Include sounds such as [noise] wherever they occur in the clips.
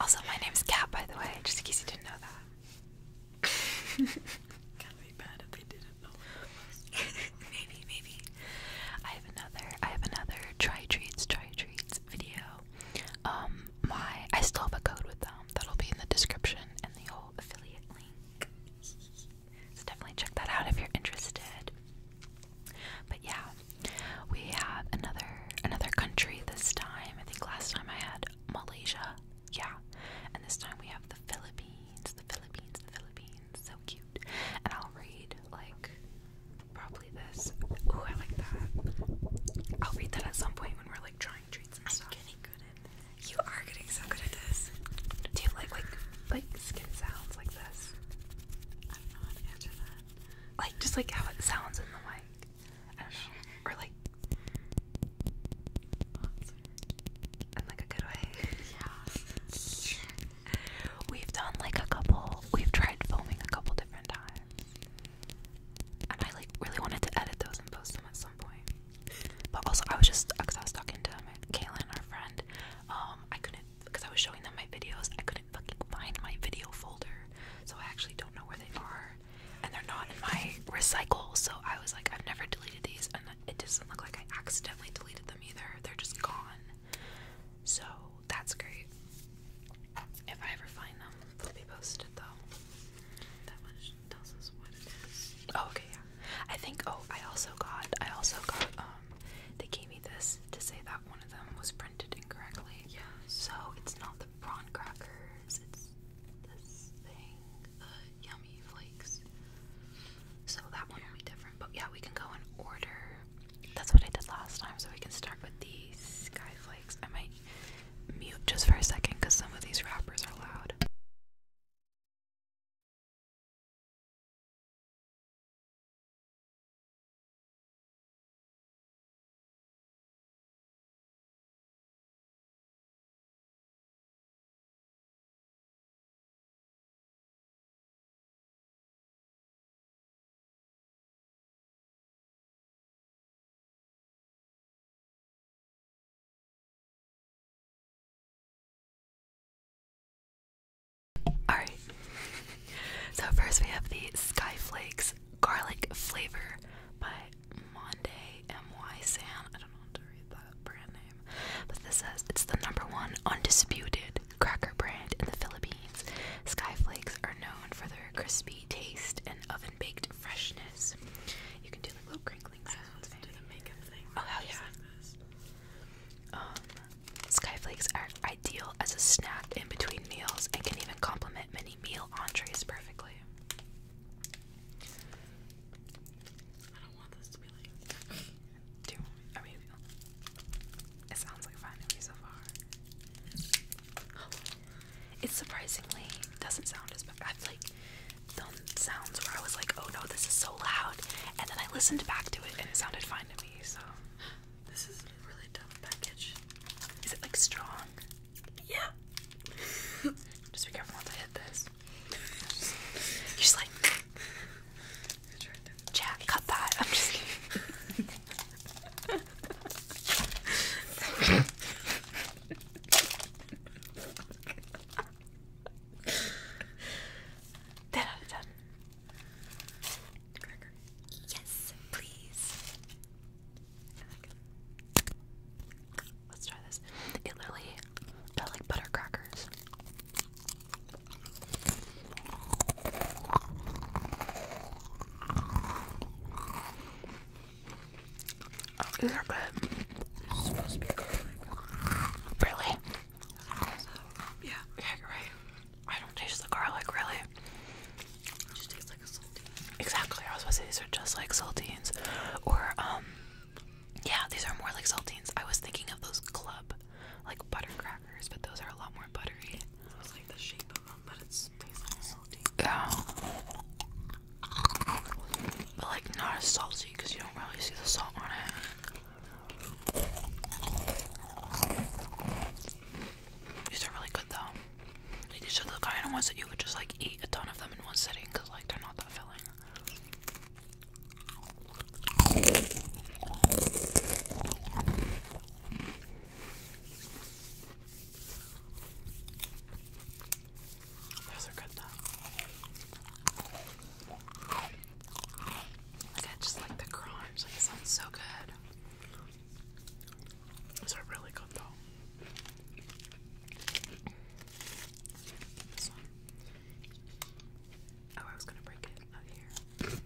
Also, my name is Kat, by the way, just in case you didn't know that. [laughs] Gotta be bad if they didn't know. [laughs] maybe, maybe. I have another. I have another try treats, try treats video. Um, my I still have a code with them. That'll be in the description and the whole affiliate link. [laughs] so definitely check that out if you're interested. But yeah, we have another another country this time. I think last time I had Malaysia. Yeah. And this time we have the Philippines, the Philippines, the Philippines. So cute. And I'll read like probably this. Ooh, I like that. I'll read that at some point when we're like trying treats and i stuff. Getting good at this. You are getting so good at this. Do you like like like skin sounds like this? I don't know how to answer that. Like just like how it sounds in the mic. I Or like In like a good way. Yeah. we've done like a couple we've tried filming a couple different times. And I like really wanted to edit those and post them at some point. But also I was just because I was talking to Kaylin, our friend, um, I couldn't because I was showing them my videos, I couldn't find my video folder. So I actually don't know where they are and they're not in my recycle. So I was like, I've never deleted these, and it doesn't look like I accidentally deleted them either. They're just gone. So that's great. If I ever find them, they'll be posted though. That much tells us what it is. Oh, okay, yeah. I think. Oh, I also got. I also got. Um, they gave me this to say that one of them was printed incorrectly. Yeah. So it's not the prawn cracker it's this thing, the uh, Yummy Flakes. So that one will be different. But yeah, we can go in order. That's what I did last time. So we can start with the Sky I might mute just for a second because some of these wrappers are loud. Alright, so first we have the Skyflakes Garlic Flavor by Monday MY San. I don't know how to read that brand name. But this says it's the number one undisputed cracker brand in the Philippines. Skyflakes are known for their crispy taste and oven baked freshness. You can do like little crinkling sounds. Oh hell yeah. Um, Skyflakes are ideal as a snack in between meals and can even complement complement meal entrees perfectly. [laughs] It sounds like a fine movie so far. [gasps] It surprisingly doesn't sound as bad. I've like sounds where I was like, "Oh no, this is so loud," and then I listened back to it and it sounded fine to me. So [gasps] this is a really tough package. Is it like strong? Yeah. [laughs] Just be careful not to hit this. just like. Jack, cut that. I'm just kidding. Ten [laughs] out of ten. Yes, please. Let's try this. It literally felt like butter crackers. Oh, these are good. It's supposed to be good. Really? yeah. Yeah, you I don't taste the garlic, really okay. It just like a Exactly. I was gonna say these are just like saltines, or um, yeah, these are more like saltines. I was thinking of those club, like butter crackers, but those are a lot more buttery. It's like the shape of them, but it's basically like a saltine. Yeah. But like not as salty because you don't really see the salt on it. These are really good though. Like these are the kind of ones that you would just like eat a ton of them in one sitting because like they're not that filling. Those are good though. Like I just like the crunch. Like it sounds so good. These are really good though. Oh, I was gonna break it out here.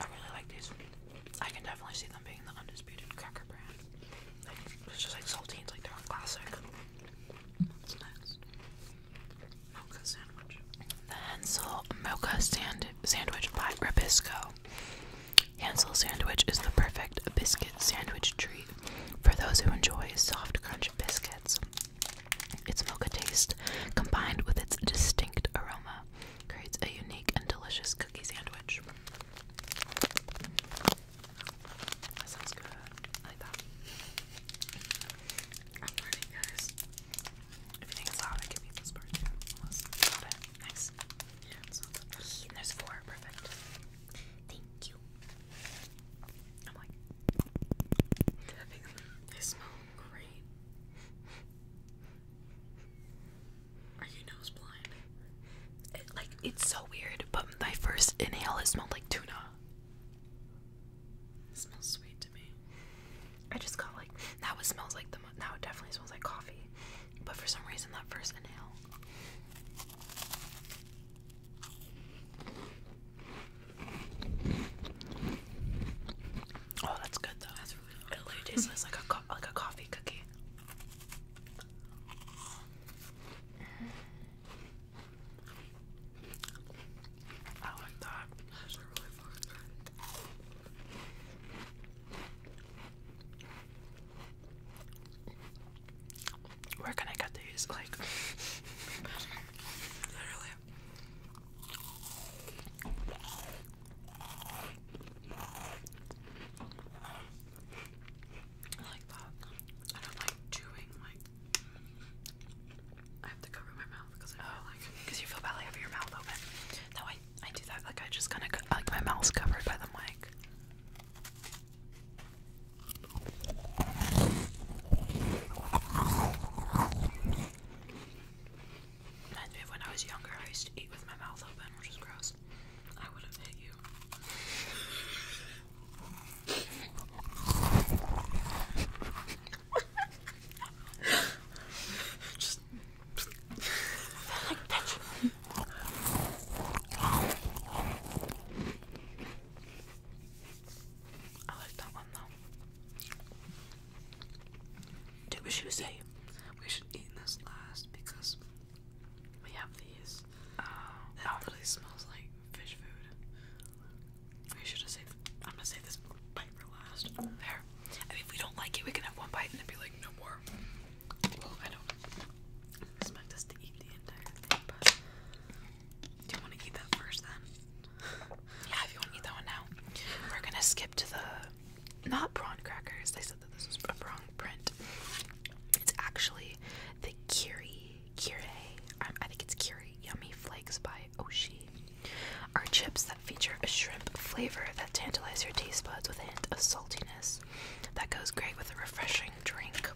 I really like these. I can definitely see them being the undisputed cracker brand. it's just like saltines, like they're a classic. What's next? sandwich. The Hansel Mocha sand Sandwich by Ribisco. Hansel sandwich is the perfect biscuit sandwich treat for those who enjoy soft crunch biscuits. Its mocha taste, combined with its distinct aroma, creates a unique and delicious cookie sandwich. That sounds good. like that. I'm learning, guys. If you think it's hot, I can Got it. Nice. there's four. Perfect. Thank you. I'm [laughs] great. Are you nose blind? like it's so weird, but my first inhale it smelled like tuna. smells sweet to me. I just got like that. it smells like the now it definitely smells like coffee, but for some reason that first inhale. Oh, that's good though. It literally tastes like a like a coffee cookie. I like that. That's really fun. Where can I get these? Like, [laughs] literally, I like that. I don't like chewing, like, I have to cover my mouth because I oh, like. Because you feel belly over your mouth open. No, I, I do that. Like, I just kind of, like, my mouth's covered by the mic. Reminds me of when I was younger, I used to eat with my mouth open, which is gross. I would have hit you. Just like bitch. I like that one though. Dude, we should say we should eat this last because we have these. Uh, oh, it oh. really smells like fish food. We should have saved. I'm gonna save this bite for last. There. And if we don't like it, we can have one bite and then be like, no more. Well, I don't expect us to eat the entire thing, but do you want to eat that first then? yeah, if you want to eat that one now, we're gonna skip to the not prawn crackers. They said that this was a wrong print. It's actually the curry, Kire. I think it's curry. Yummy Flakes by Oshi. Are chips that feature a shrimp flavor that tantalize your taste buds with a hint of saltiness that goes great with a refreshing drink.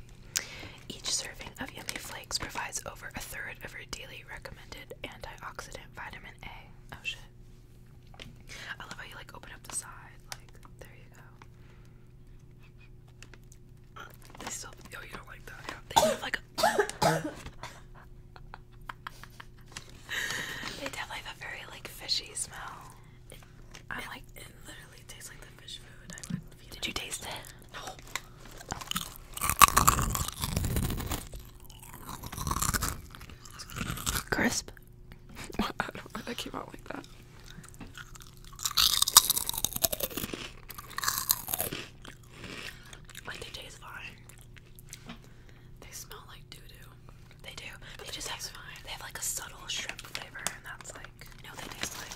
Each serving of Yummy Flakes provides over a third of your daily recommended antioxidant vitamin A. Oh shit. I love how you like open up the side, like there you go. Uh, oh, you don't like that. Yeah. They have like a. [coughs] they definitely have a very like fishy smell. i like, it literally tastes like the fish food. I would. Did like you taste it? No. Crisp. [laughs] I don't know why that came out like that. Like they taste fine. They smell like doo doo. They do. they, just have fine. They have like a subtle shrimp flavor, and that's like you know they taste like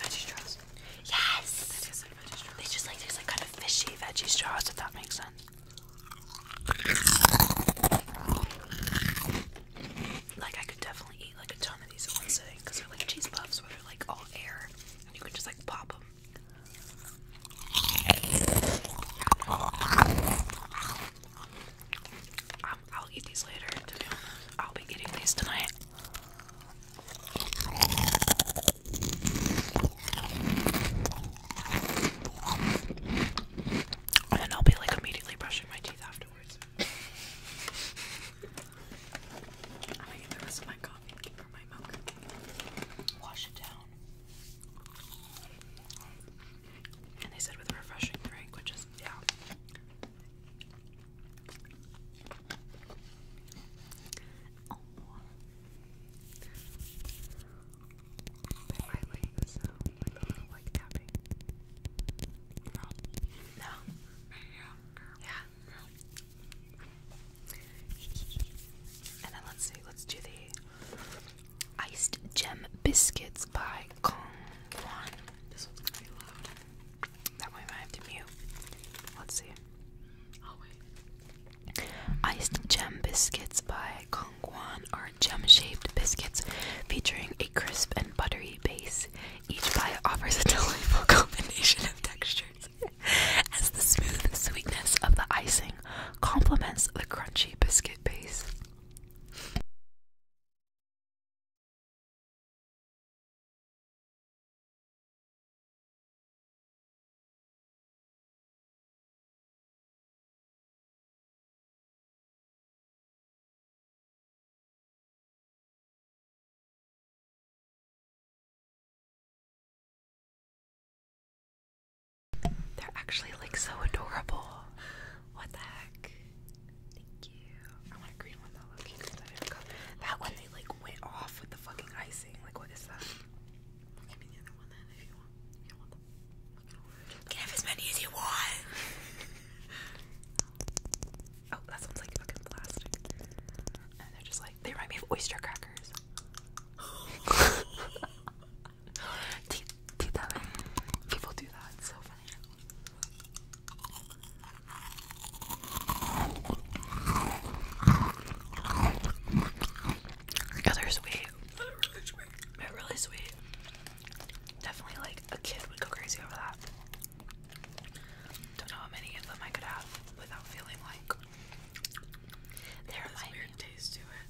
veggie straws. Yes. They taste like veggie straws. They just like taste like kind of fishy veggie straws, if that makes sense. Like I could definitely eat like a ton of these in one sitting eh? because they're like cheese puffs where they're like all air and you can just like pop them. Um, I'll eat these later. I'll be eating these tonight. And I'll be like immediately brushing my teeth afterwards. [laughs] I'm gonna get the rest of my coffee for my milk. Wash it down. And they said with a refreshing drink, which is, yeah. No. Yeah. And then let's see, let's do the iced gem biscuits by Kong Wan. This one's gonna be loud. That one I have to mute. Let's see. Oh, Iced gem biscuits by Kongguan are gem-shaped biscuits featuring a crisp and buttery base. Each bite offers a [laughs] delightful combination of textures as the smooth sweetness of the icing complements the crunchy biscuit base. They're actually like so adorable. What the heck? Thank you. I want a green one though, That one they like went off with the fucking icing. Like what is that? Give me the other one then if you want you can have as many as you want. [laughs] oh, that sounds like fucking plastic. And they're just like, they remind me of oyster crackers. [laughs] People do that. It's so really They're really sweet. Definitely like a kid would go crazy over that. Don't know how many of them I could have without feeling like they remind weird taste to it.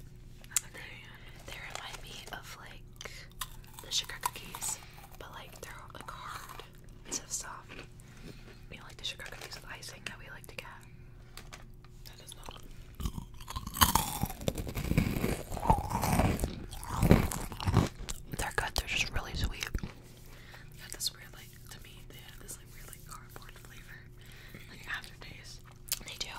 At the they, they of like the sugar cookies, but like they're like hard instead of soft. You like the sugar cookies with icing that we like to get. They're good. They're just really sweet. They this weird, like, to me, they had this like weird, like cardboard flavor, like aftertaste. They do.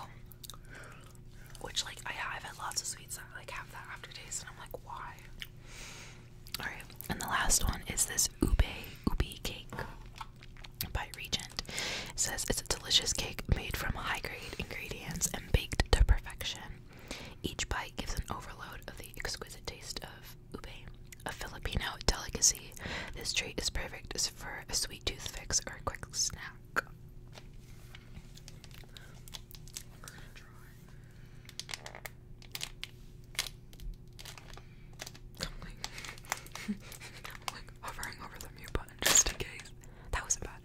Which, like, I, I've had lots of sweets that like have that aftertaste, and I'm like, why? All right. And the last one is this ube ube cake by Regent. says it's a delicious cake made from high grade ingredients and baked to perfection. Each bite gives an overload of the exquisite taste of ube, a Filipino delicacy. This treat is perfect for a sweet tooth fix or a quick snack. [laughs] like hovering over the mute button just in case. That wasn't bad.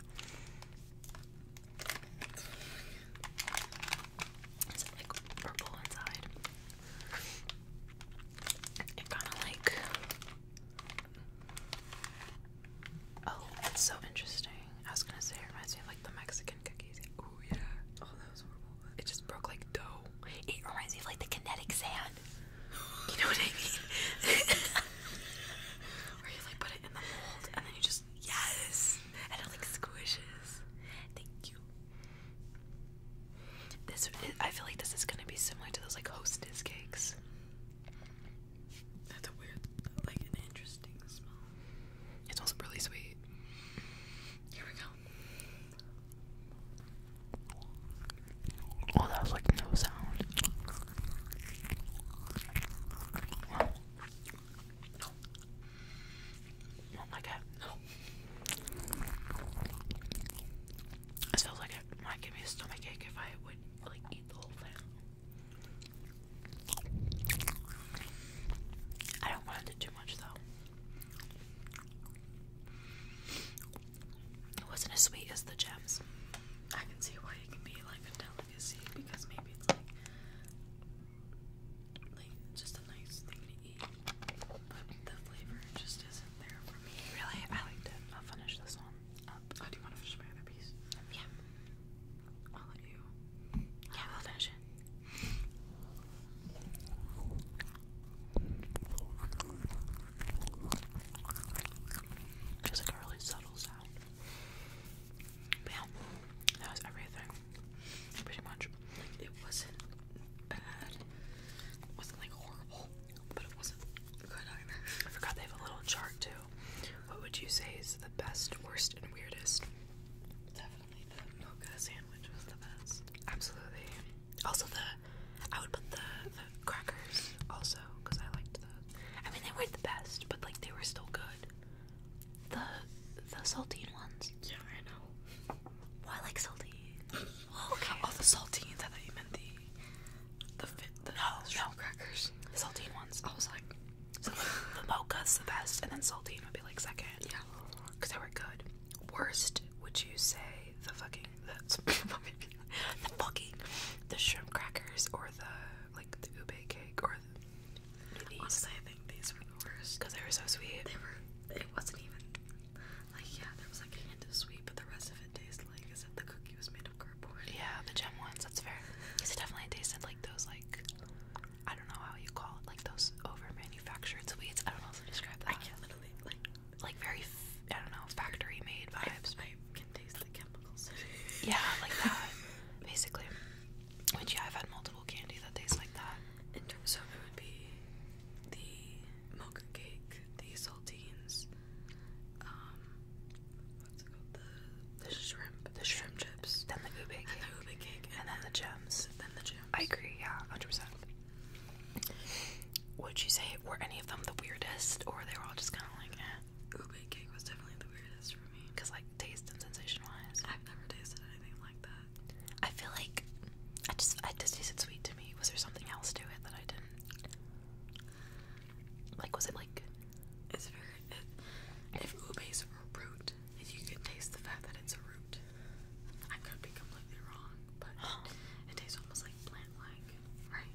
Is like purple inside? It kind of like. Oh, it's so interesting. I was gonna say it reminds me like the Mexican cookies. Oh yeah. Oh, that was horrible. It just broke like dough. It reminds me like the kinetic sand. You know what I mean? [laughs] Where you like put it in the mold and then you just yes, and it like squishes. Thank you. This I feel like this is gonna be similar to those like hostess cakes. That's a weird, like an interesting smell. It smells really sweet. Here we go. Oh, that was like no sound. Oh my god, This feels like it might give me a stomach ache if I would like eat the whole thing. I don't want to do too much though. It wasn't as sweet as the gems. I can see why it can be like a delicacy because maybe it's like just a nice thing to eat, but the flavor just isn't there for me. Really, I liked it. I'll finish this one up. Oh, do you want to finish my piece? Yeah. I'll let you. Yeah, we'll finish it. Just like a really subtle sound. But that was everything. Pretty much. it wasn't bad. wasn't like horrible, but it wasn't good either. I forgot they have a little chart too. What would you say is the best, worst, and weirdest? Definitely the mocha sandwich was the best. Absolutely. Also the I would put the, crackers also because I liked those. I mean, they weren't the best, but like they were still good. The the saltine ones. Yeah, I know. Well, oh, like saltine. well, [laughs] okay. Oh, the saltines. I thought you meant the the fit the no, the no. crackers. The saltine ones. I was like, the, the mocha's the best, and then saltine would be like second. Yeah, because they were good. Worst, would you say? the fucking that's [laughs] the fucking the shrimp crackers or the like the ube cake or the, these. I think these were the worst because they were so sweet. They were. It wasn't even like yeah, there was like a hint of sweet, but the rest of it tasted like as if the cookie was made of cardboard. Yeah, the gem ones. That's fair. Because it definitely tasted like those like I don't know how you call it like those over manufactured sweets. I don't know how to describe that. I can't literally like like very I don't know factory made vibes. I, can taste the chemicals. [laughs] yeah, like that basically. Which yeah, I've had multiple candy that tastes like that. In terms of it would be the mocha cake, the saltines, um, what's it called? The the shrimp, the shrimp chips, then the ube cake, and the ube cake, and, then, then the gems, then the gems. I agree, yeah, hundred percent. Would you say were any of them the weirdest, or they were all just kind of like, eh? Ube cake was definitely the weirdest for me. Cause like taste and sensation wise, I've never tasted anything like that. I feel like I just I just tasted sweet to me. Was there something else to it that I didn't? Like, was it like? It's very. It, if ube's a root, if you can taste the fact that it's a root, I could be completely wrong, but [gasps] it tastes almost like plant-like. Right?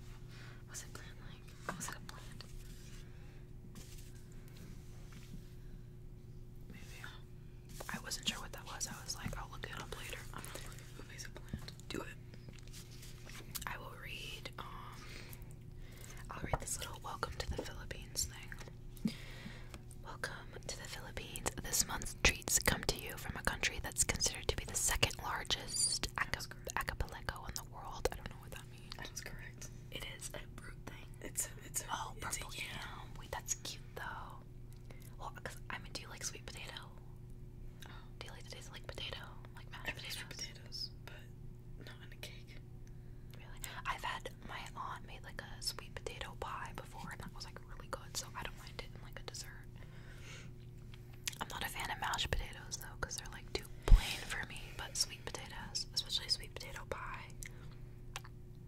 Was it planned like? Was it a plan? Maybe. I wasn't sure what that was. I was like, I'll look it up later. I'm not looking at movies a plan. Do it. I will read, um, I'll read this little welcome to the Philippines thing. Welcome to the Philippines. This month's treats come to you from a country that's considered to be the second largest correct. in the world. I don't know what that means. That is correct. It is a root thing. It's it's oh, purple Yeah. Wait, that's cute though. Well, cause I mean, do you like sweet potato? Oh. Do you like the taste of like potato, like mashed potatoes? i potatoes, but not in a cake. Really? I've had my aunt made like a sweet potato pie before, and that was like really good. So I don't mind it in like a dessert. I'm not a fan of mashed potatoes though, because they're like too plain for me. But sweet potatoes, especially sweet potato pie,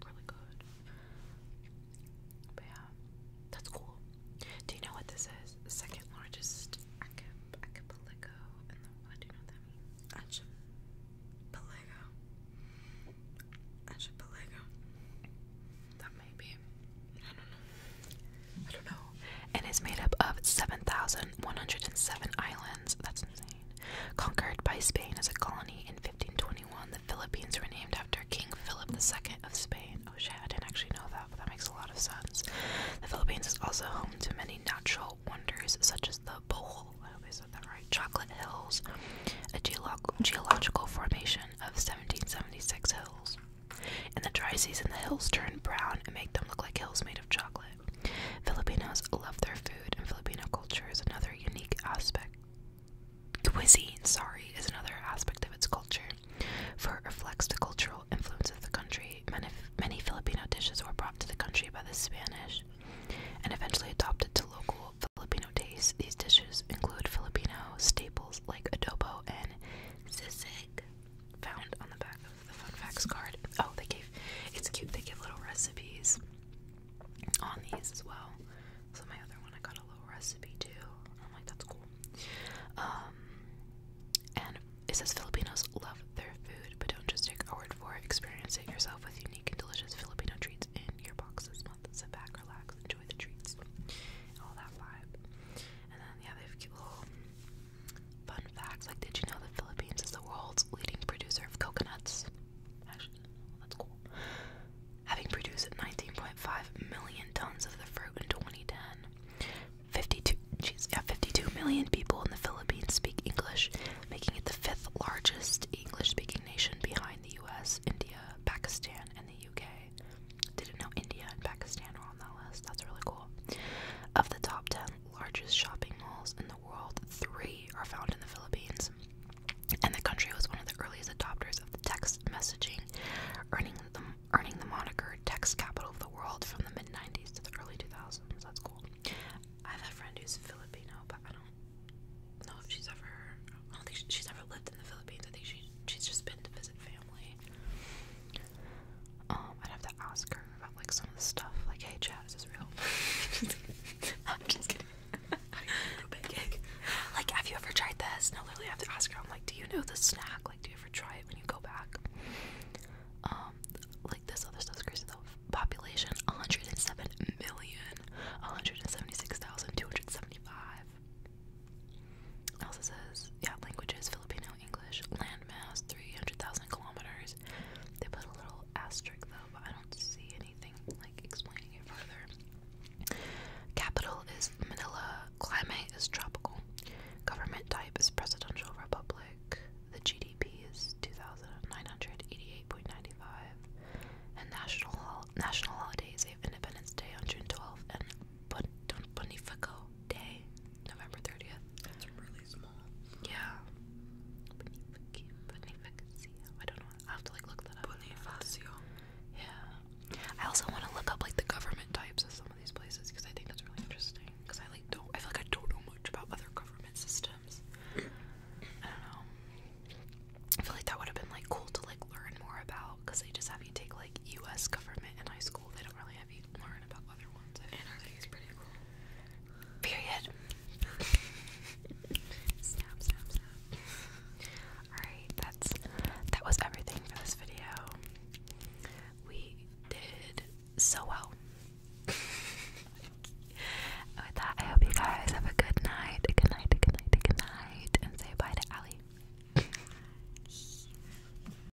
really good. But yeah, that's cool. Do you know what this is? second largest archipelago Do you know what that means? And is made up of 7,107 islands. That's insane. Conquered by Spain as a colony in 1521, the Philippines were named after King Philip II of Spain. Oh shit, I didn't actually know that, but that makes a lot of sense. The Philippines is also home to many natural wonders, such as the Bohol, Chocolate Hills, a geolo geological formation of 1776 hills. In the dry season, the hills turn brown and make them look like hills made of chocolate. Filipinos love their food, and Filipino culture is another unique aspect. Cuisine, sorry, is another aspect of its culture, for it reflects the cultural influence of the country. Many, many Filipino dishes were brought to the country by the Spanish and eventually adopted to local Filipino tastes. These dishes include Filipino staples like adobo and sisig found on the back of the fun facts card. Oh, they gave it's cute, they give little recipes on these as well. So my other one I got a little recipe too. I'm like, that's cool. Um, and it says Filipinos love their food, but don't just take our word for it. Experience it yourself with unique and delicious Filipino treats in your box this Sit back, relax, enjoy the treats, all that vibe. And then yeah, they have cute little Fun facts like, did you know the Philippines is the world's leading producer of coconuts? Having produced 19.5 million tons of the fruit in 2010, 52, yeah, 52 million people in the Philippines speak English, making it the fifth largest English speaking nation behind the US, India, Pakistan, and the UK. Didn't know India and Pakistan were on that list. That's really cool. Of the top 10 largest shopping malls in the world, three are found in the Philippines. And the country was one of the earliest adopters of the text messaging, earning the, earning the moniker text capital of the world from the mid 90s to the early 2000s. That's cool. I have a friend who's Filipino, but I don't know if she's ever, I don't think she's ever lived in the Philippines. I think she, she's just been to visit family. Um, I'd have to ask her about like some of the stuff. Like, hey, chat, is this real? [laughs] I'm just kidding. like, have you ever tried this? No, literally, I have to ask her. I'm like, do you know the snack? Like, do you ever try it when you go back? Um, like this other stuff. crazy though. Population: 107 million, 176,275. Also says, yeah, languages Filipino, English, landmass, 300,000 kilometers. They put a little asterisk though, but I don't see anything like explaining it further. Capital is Manila, climate is tropical, government type is presidential republic, the GDP is 2,988.95, and national, national they have Independence Day on June 12th and Bonifacio day, November 30th. That's really small. Yeah. I don't know. I have to like look that up. Yeah. I also want to look up like the government types of some of these places because I think that's really interesting. Because I like don't. I feel like I don't know much about other government systems. I don't know. I feel like that would have been like cool to like learn more about because they just have you take like U.S. government in high school. They don't really Period. [laughs] snap, snap, snap. Alright, that's that was everything for this video. We did so well. [laughs] With that, I hope you guys have a good night. good night, good night, good night. And say bye to Allie. [laughs]